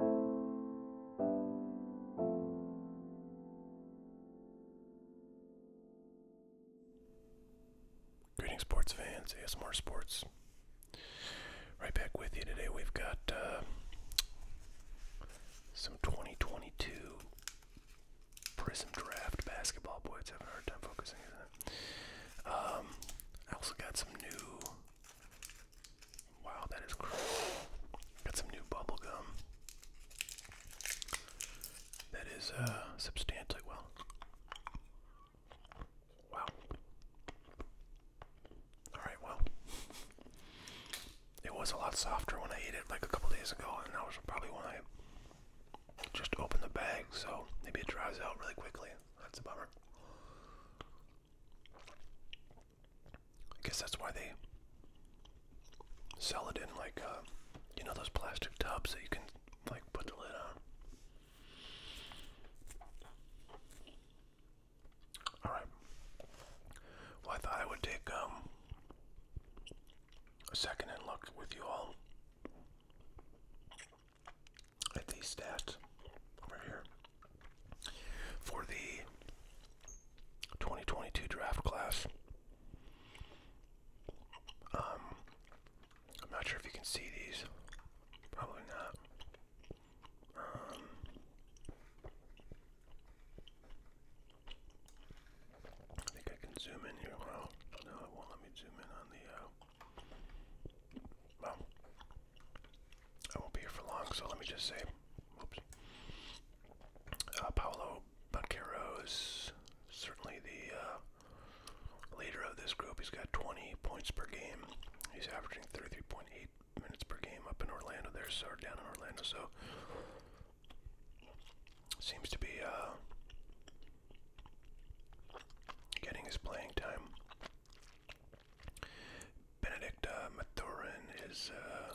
Greetings, sports fans. ASMR Sports. Right back with you today. We've got uh, some 2022 Prism Draft basketball. Boy, it's having a hard time focusing, isn't Um, I also got some new Wow, that is Got some new bubble gum. That is uh, substantially well. Wow. Alright, well. It was a lot softer when I ate it like a couple days ago, and that was probably when I just opened the bag, so maybe it dries out really quickly. That's a bummer. I guess that's why they sell it in like uh, you know those plastic tubs that you can like put the lid on. All right. Well, I thought I would take um, a second and look with you all at these stats over here for the 2022 draft class. Um, I'm not sure if you can see these. Probably not. Um, I think I can zoom in here. Well, no, it won't let me zoom in on the. Uh, I won't be here for long, so let me just say, uh, Paolo Uh, Banquero is certainly the uh, leader of this group. He's got 20 points per game. He's averaging 33.8 minutes per game up in Orlando there, so or down in Orlando, so seems to be uh, getting his playing time. Benedict Mathurin is uh,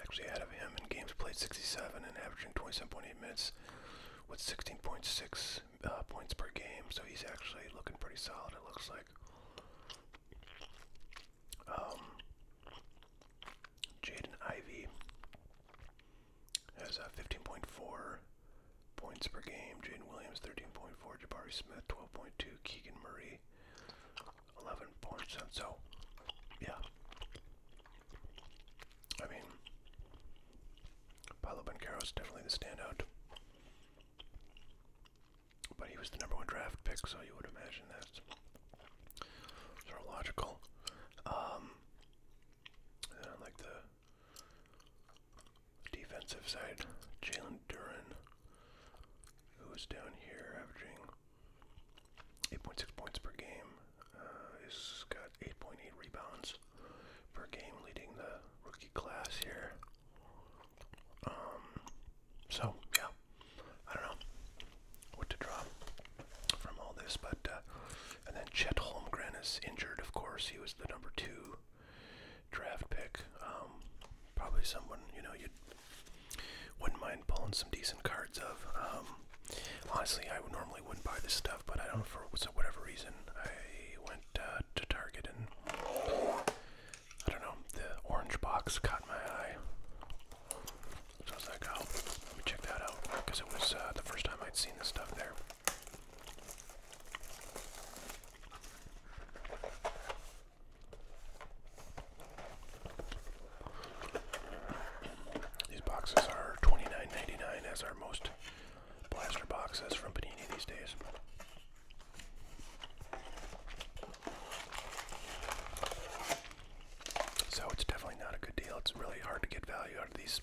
actually out of him in games played 67 and averaging 27.8 minutes with 16.6 uh, points per game. So he's actually looking pretty solid, it looks like. Um, Jaden Ivey has uh, 15.4 points per game. Jaden Williams 13.4. Jabari Smith 12.2. Keegan Murray, 11 points. And so, yeah. I mean, Paolo Bancaro is definitely the standout. But he was the number one draft pick, so you would imagine that's sort of logical. Um, I like the Defensive side, Jalen Duran, who is down here averaging 8.6 points per game, uh, is got 8.8 rebounds per game, leading the rookie class here. Um, so yeah, I don't know what to draw from all this, but uh, and then Chet Holmgren is injured, of course. He was the number two draft pick. Um, probably someone you know you wouldn't mind pulling some decent cards of. Um, honestly, I normally wouldn't buy this stuff, but I don't for whatever reason I went uh, to Target and I don't know the orange box caught my eye. So I was oh, let me check that out because it was uh, the first time I'd seen this stuff there. These boxes are $29.99 as are most blaster boxes from Panini these days. So it's definitely not a good deal. It's really hard to get value out of these.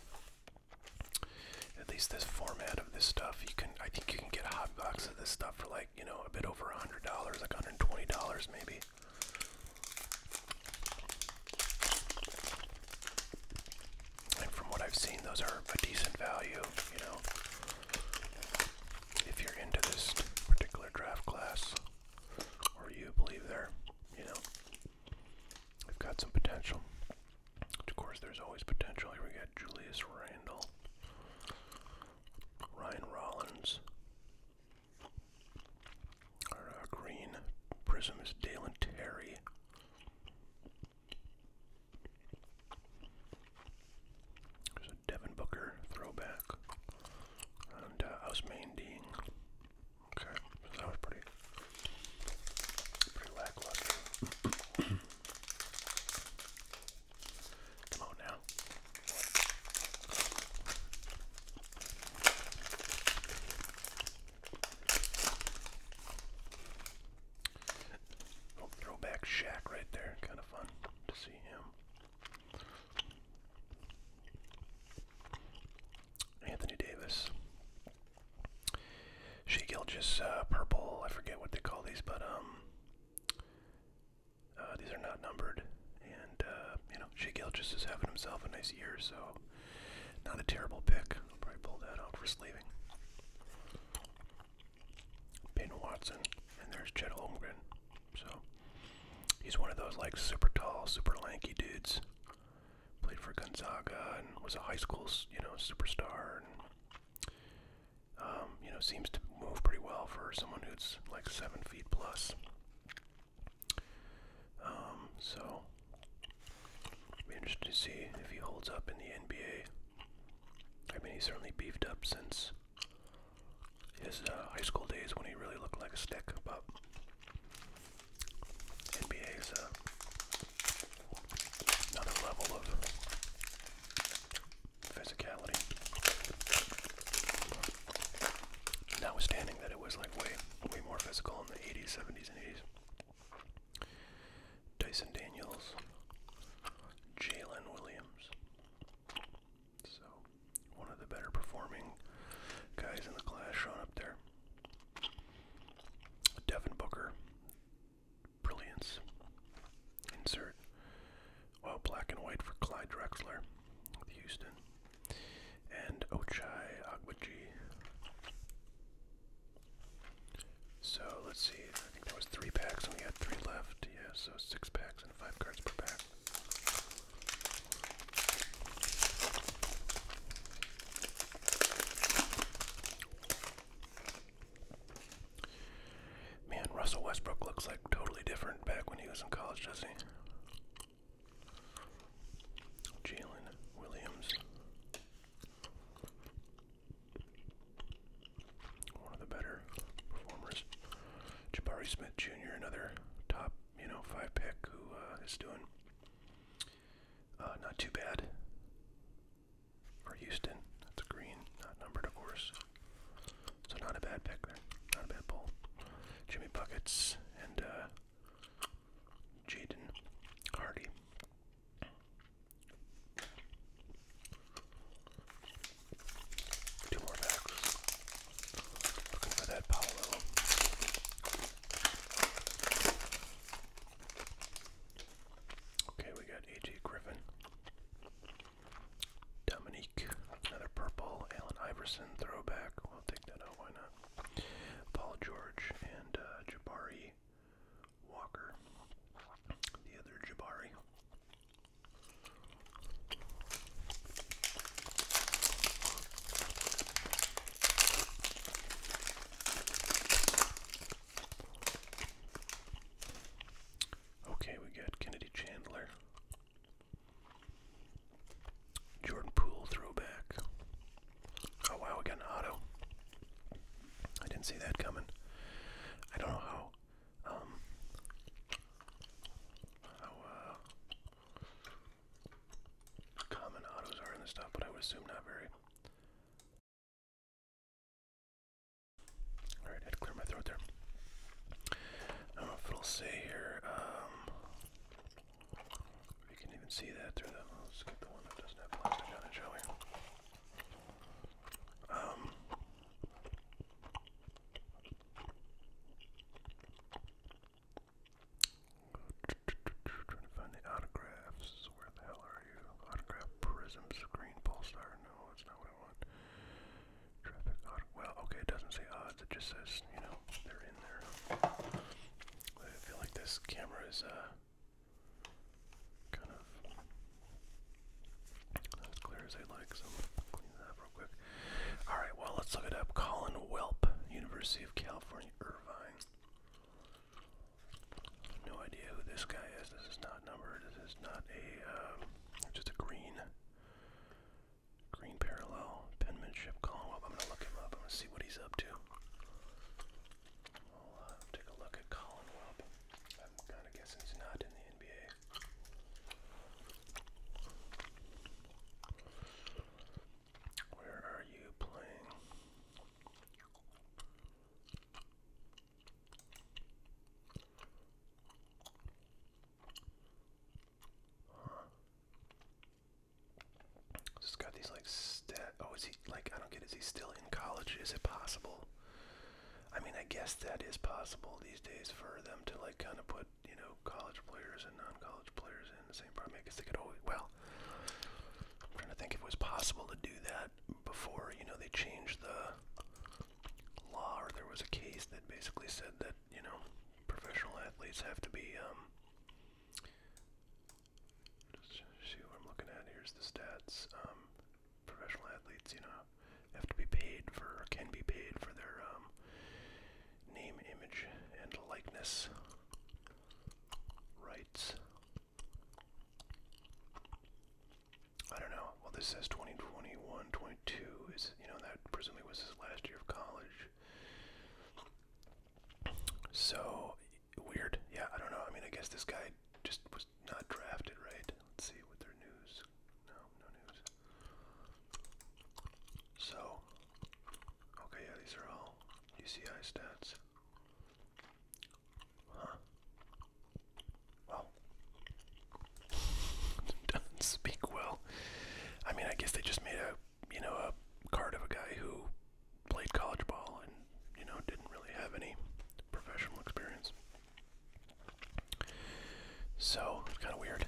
At least this format of this stuff, you can. I think you can get a hot box of this stuff for like you know, a bit over $100, like $120 maybe. And from what I've seen, those are a decent value, you know, if you're into this particular draft class or you believe they're, you know, we have got some potential. Of course, there's always potential. Here we got Julius Randall. Ryan Rollins. Our uh, green prism is Dalen Terry. There's a Devin Booker throwback. And I uh, was main Okay, that was pretty, pretty lackluster. Come on now. Oh, throwback Shaq right there. Kind of fun to see him. Anthony Davis. She just uh, purple. I forget what they call these, but um, uh, these are not numbered, and uh, you know Shea just is having himself a nice year, so not a terrible pick. I'll probably pull that out for sleeving. Ben Watson, and there's Chet Holmgren. So he's one of those like super tall, super lanky dudes. Played for Gonzaga and was a high school, you know, superstar. And um, you know, seems to move pretty well for someone who's like seven feet plus. Um, so, be interested to see if he holds up in the NBA. I mean, he's certainly beefed up since his uh, high school days when he really looked like a stick, but NBA is uh, another level of physicality. Notwithstanding that it was like way, way more physical in the 80s, 70s, and 80s. Dyson Daniels, Jalen Williams. So, one of the better performing guys in the class shot up there. Devin Booker, brilliance. Insert. Well, black and white for Clyde Drexler Houston. And Ochai Agbaji. So let's see, I think there was three packs and we had three left. Yeah, so six packs and five cards per pack. Man, Russell Westbrook looks like totally different back when he was in college, doesn't he? Jalen Williams. One of the better performers. Jabari Smith Jr., another top, you know, five pick who uh, is doing uh, not too bad. For Houston. That's a green, not numbered, of course. So not a bad pick there. Not a bad pull. Jimmy Buckets and uh, Jaden Hardy. Two more backs. Looking for that Paolo. Okay, we got AJ Griffin. Dominique, another purple. Allen Iverson, throwback. We'll take that out, why not? Paul George and uh, Jabari Walker, the other Jabari. Okay, we got Kennedy Chandler. Jordan Poole throwback. Oh wow, we auto. I didn't see that coming. I don't know how um how uh, common autos are in this stuff, but I assume not very. All right, I had to clear my throat there. I don't know if it'll say here. Um, can even see that through the. Let's get the one that doesn't have plastic on it, shall Um. Trying to find the autographs. Where the hell are you? Autograph Prism Screen Pulsar. No, that's not what I want. Traffic odd. Well, okay, it doesn't say odds. It just says, you know, they're in there. I feel like this camera is uh, kind of not as clear as they like, so clean that real quick. All right, well, let's look it up. Colin Welp, University of California, Irvine. No idea who this guy is. This is not numbered. This is not a um, just a green, green parallel penmanship Collinwell. I'm gonna look him up. I'm gonna see what he's up to. I'll uh, take a look at Colin Webb. I'm kind of guessing he's not in the NBA. Where are you playing? Huh. Just got these like stat. Oh, is he like? I don't get. Is he still in college? Is it possible? I mean, I guess that is possible these days for them to like kind of put you know college players and non-college players in the same program. I guess they could always. Well, I'm trying to think if it was possible to do that before you know they changed the law or there was a case that basically said that you know professional athletes have to be um just see what I'm looking at here's the stats um professional athletes you know have to be paid for or can be paid for their um name image and likeness rights I don't know. Well, this says 2021, 22 is, you know, that presumably was his last year of college. So weird. Yeah, I don't know. I mean, I guess this guy just was not drafted, right? Let's see what their news. No, no news. So, okay, yeah, these are all UCI stats. Huh. Well, doesn't speak well. I mean, I guess they just made a you know a card of a guy who played college ball and you know didn't really have any professional experience. So it's kind of weird,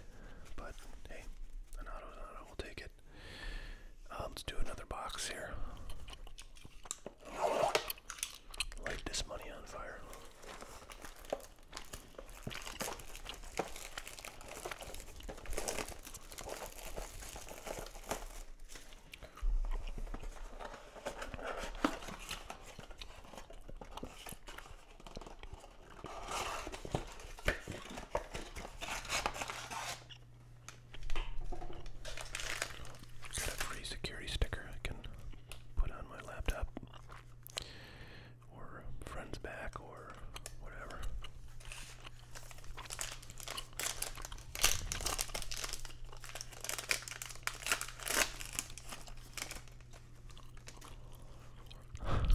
but hey, We'll take it. Uh, let's do another box here. Light this money on fire. Got a free security sticker I can put on my laptop or friends back or whatever.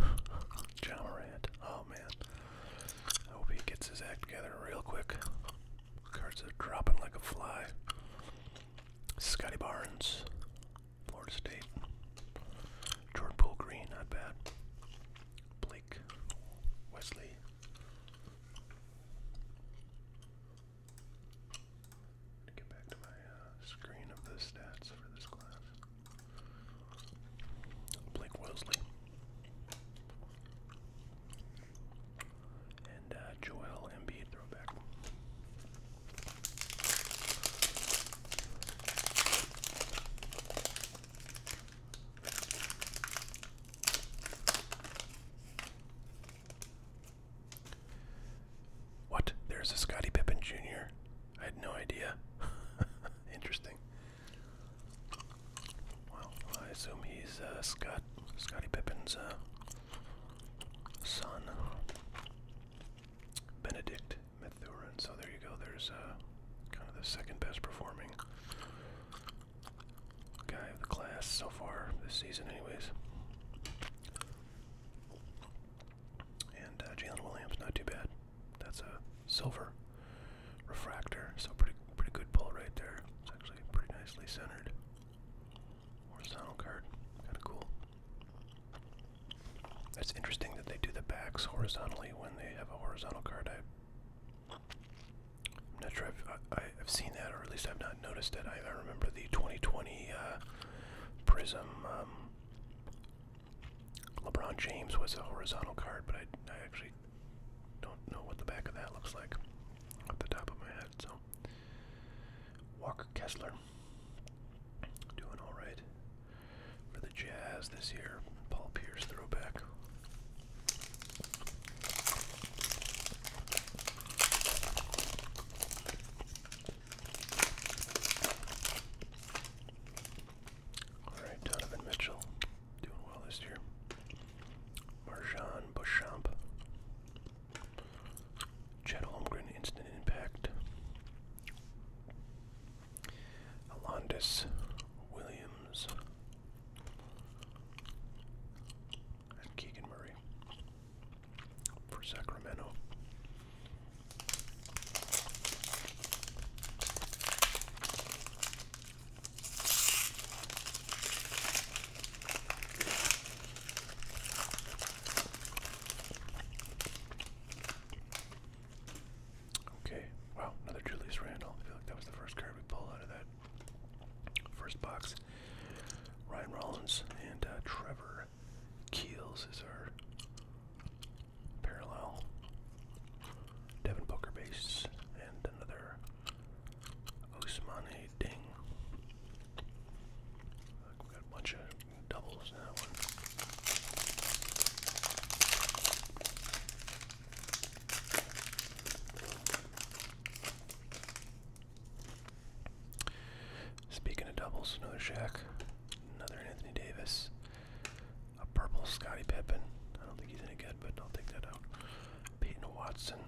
John Oh man. I hope he gets his act together real quick. Cards are dropping like a fly. Scotty Barnes. Florida State. Jordan Poole Green, not bad. Blake Wesley. Get back to my uh, screen of the stats for this class. Blake Wesley. And uh, Joel Embiid, what? There's a Scottie Pippen Jr. I had no idea. Interesting. Well, I assume he's uh, Scott Scottie Pippen's uh, son. Benedict Mathurin. So there you go. There's uh, kind of the second best performing guy of the class so far this season, anyways. And uh, Jalen Williams, not too bad. That's a silver refractor, so pretty pretty good pull right there. It's actually pretty nicely centered. Horizontal card, kind of cool. It's interesting that they do the backs horizontally when they have a horizontal card. I, am not sure if I, have seen that, or at least I've not noticed it. I, remember the 2020 uh, Prism. Um, LeBron James was a horizontal card, but I, I actually don't know what the back of that looks like off the top of my head. So, Walker Kessler. Doing all right for the Jazz this year. Paul Pierce throwback. All right, Donovan Mitchell doing well this year. Marjan Beauchamp. Chad Holmgren, instant impact. Alondis Williams. And Keegan Murray for Sacramento. Okay, wow, another Julius Randall. I feel like that was the first card we pulled out of that first box. Ryan Rollins and uh, Trevor Keels is our parallel. Devin Booker base and another Osmane Ding. we got a bunch of Speaking of doubles, another Shaq, another Anthony Davis, a purple Scottie Pippen. I don't think he's any good, but I'll take that out. Peyton Watson,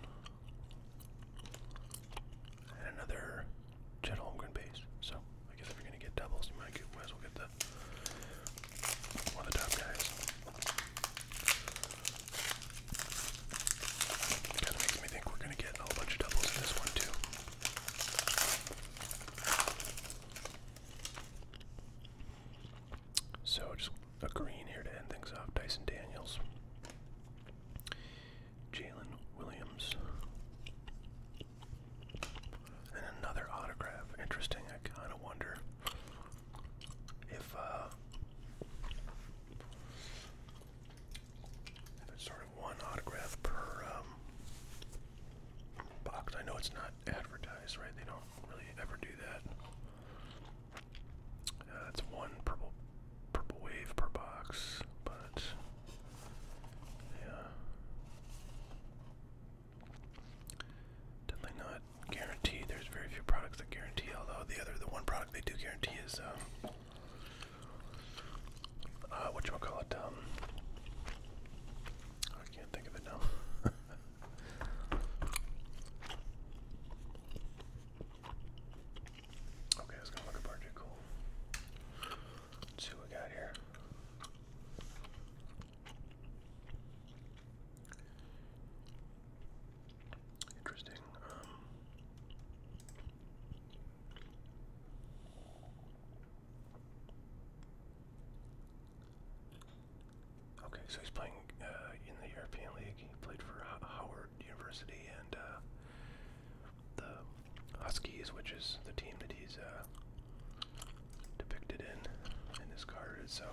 and another Chet Holmgren base. So I guess if you're gonna get doubles, you might, might as well get the one of the top guys. Kind of makes me think we're gonna get a whole bunch of doubles in this one too. So just a green here to end things off. Dyson Daniels. Jalen Williams. And another autograph. Interesting. I kind of wonder uh, if, it's sort of one autograph per um, box. I know it's not advertised, right? They don't really ever do that. Uh, one purple purple wave per box, but yeah. Definitely not guaranteed. There's very few products that guarantee, although the other, the one product they do guarantee is, um, uh, whatchamacallit, um, I can't think of it now. Okay, I was gonna look up article. Let's see what we got here. Interesting. Um, okay, so he's playing uh, in the European League. He played for uh, Howard University and uh, the Huskies, which is the team that he's uh, depicted in in this card. So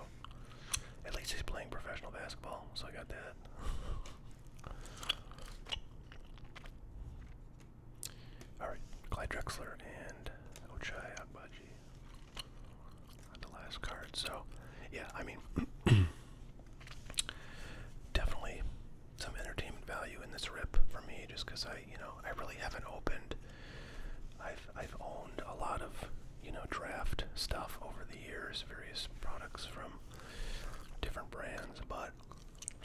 at least he's playing professional basketball. So I got that. All right, Clyde Drexler and Ochai Agbaji on the last card. So yeah, I mean. Definitely some entertainment value in this rip for me, just because I, you know, I really haven't opened. I've I've owned a lot of you know draft stuff over the years, various products from different brands, but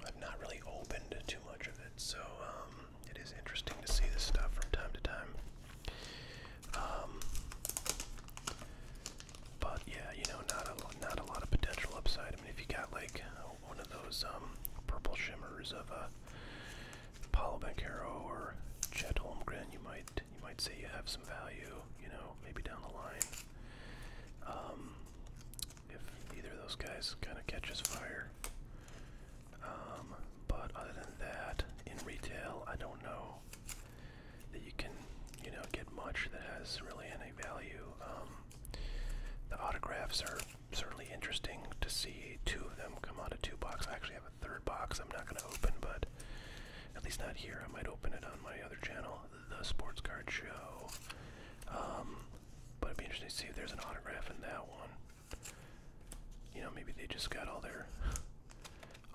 I've not really opened too much of it. So um, it is interesting to see this stuff from time to time. Um, but yeah, you know, not a not a lot of potential upside. I mean, if you got like one of those um, purple shimmers of a uh, Paulo Bancaro or Chet Holmgren, you might you might say you have some value, you know, maybe down the line. Um, if either of those guys kind of catches fire. Um, but other than that, in retail, I don't know that you can, you know, get much that has really any value. the autographs are certainly interesting to see two of them come out of two box. I actually have a third box I'm not going to open, but at least not here. I might open it on my other channel, The Sports Card Show. Um, but it'd be interesting to see if there's an autograph in that one. You know, maybe they just got all their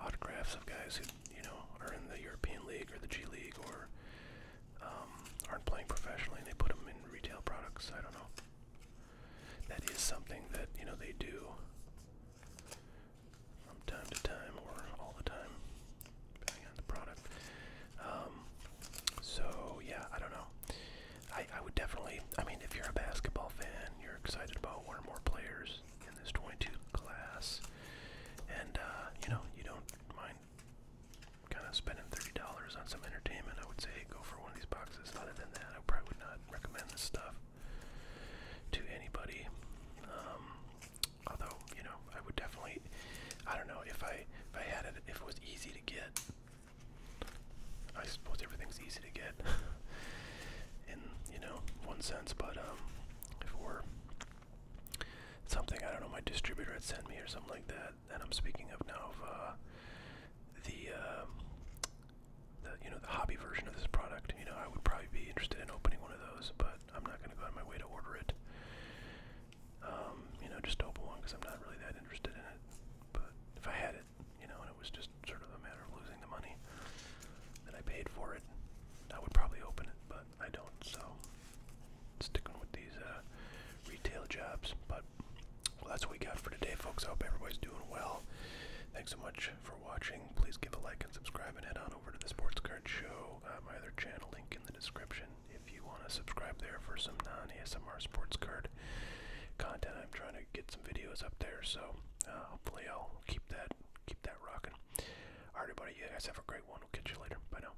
autographs of guys who, you know, are in the European League or the G League or um, aren't playing professionally and they put them in retail products. I don't know. That is something that, you know, they do from time to time or all the time, depending on the product. Um, so, yeah, I don't know. I, I would definitely, I mean, if you're a basketball fan, you're excited about one or more players in this 22 class, and, uh, you know, you don't mind kind of spending thirty dollars on some entertainment, I would say go for one of these boxes. Other than that, I probably would not recommend this stuff to anybody. Um, although, you know, I would definitely, I don't know if I if I had it, if it was easy to get. I suppose everything's easy to get, in you know one sense. But um, if it were something I don't know, my distributor had sent me or something like that, that I'm speaking of now of uh, the, uh, the you know the hobby version of this product. You know I would probably be interested in opening one of those, but I'm not going to go out of my way to order it. Um, you know, just open one because I'm not really that interested in it. But if I had it, you know, and it was just sort of a matter of losing the money that I paid for it, I would probably open it, but I don't. So sticking with these uh, retail jobs. But well, that's what we got for today, folks. I hope everybody's doing well. Thanks so much for watching. Please give a like and subscribe, and head on over to the Sports Card Show, uh, my other channel link in the description, if you want to subscribe there for some non-ASMR sports card content. I'm trying to get some videos up there, so uh, hopefully I'll keep that keep that rocking. All right, everybody. You guys have a great one. We'll catch you later. Bye now.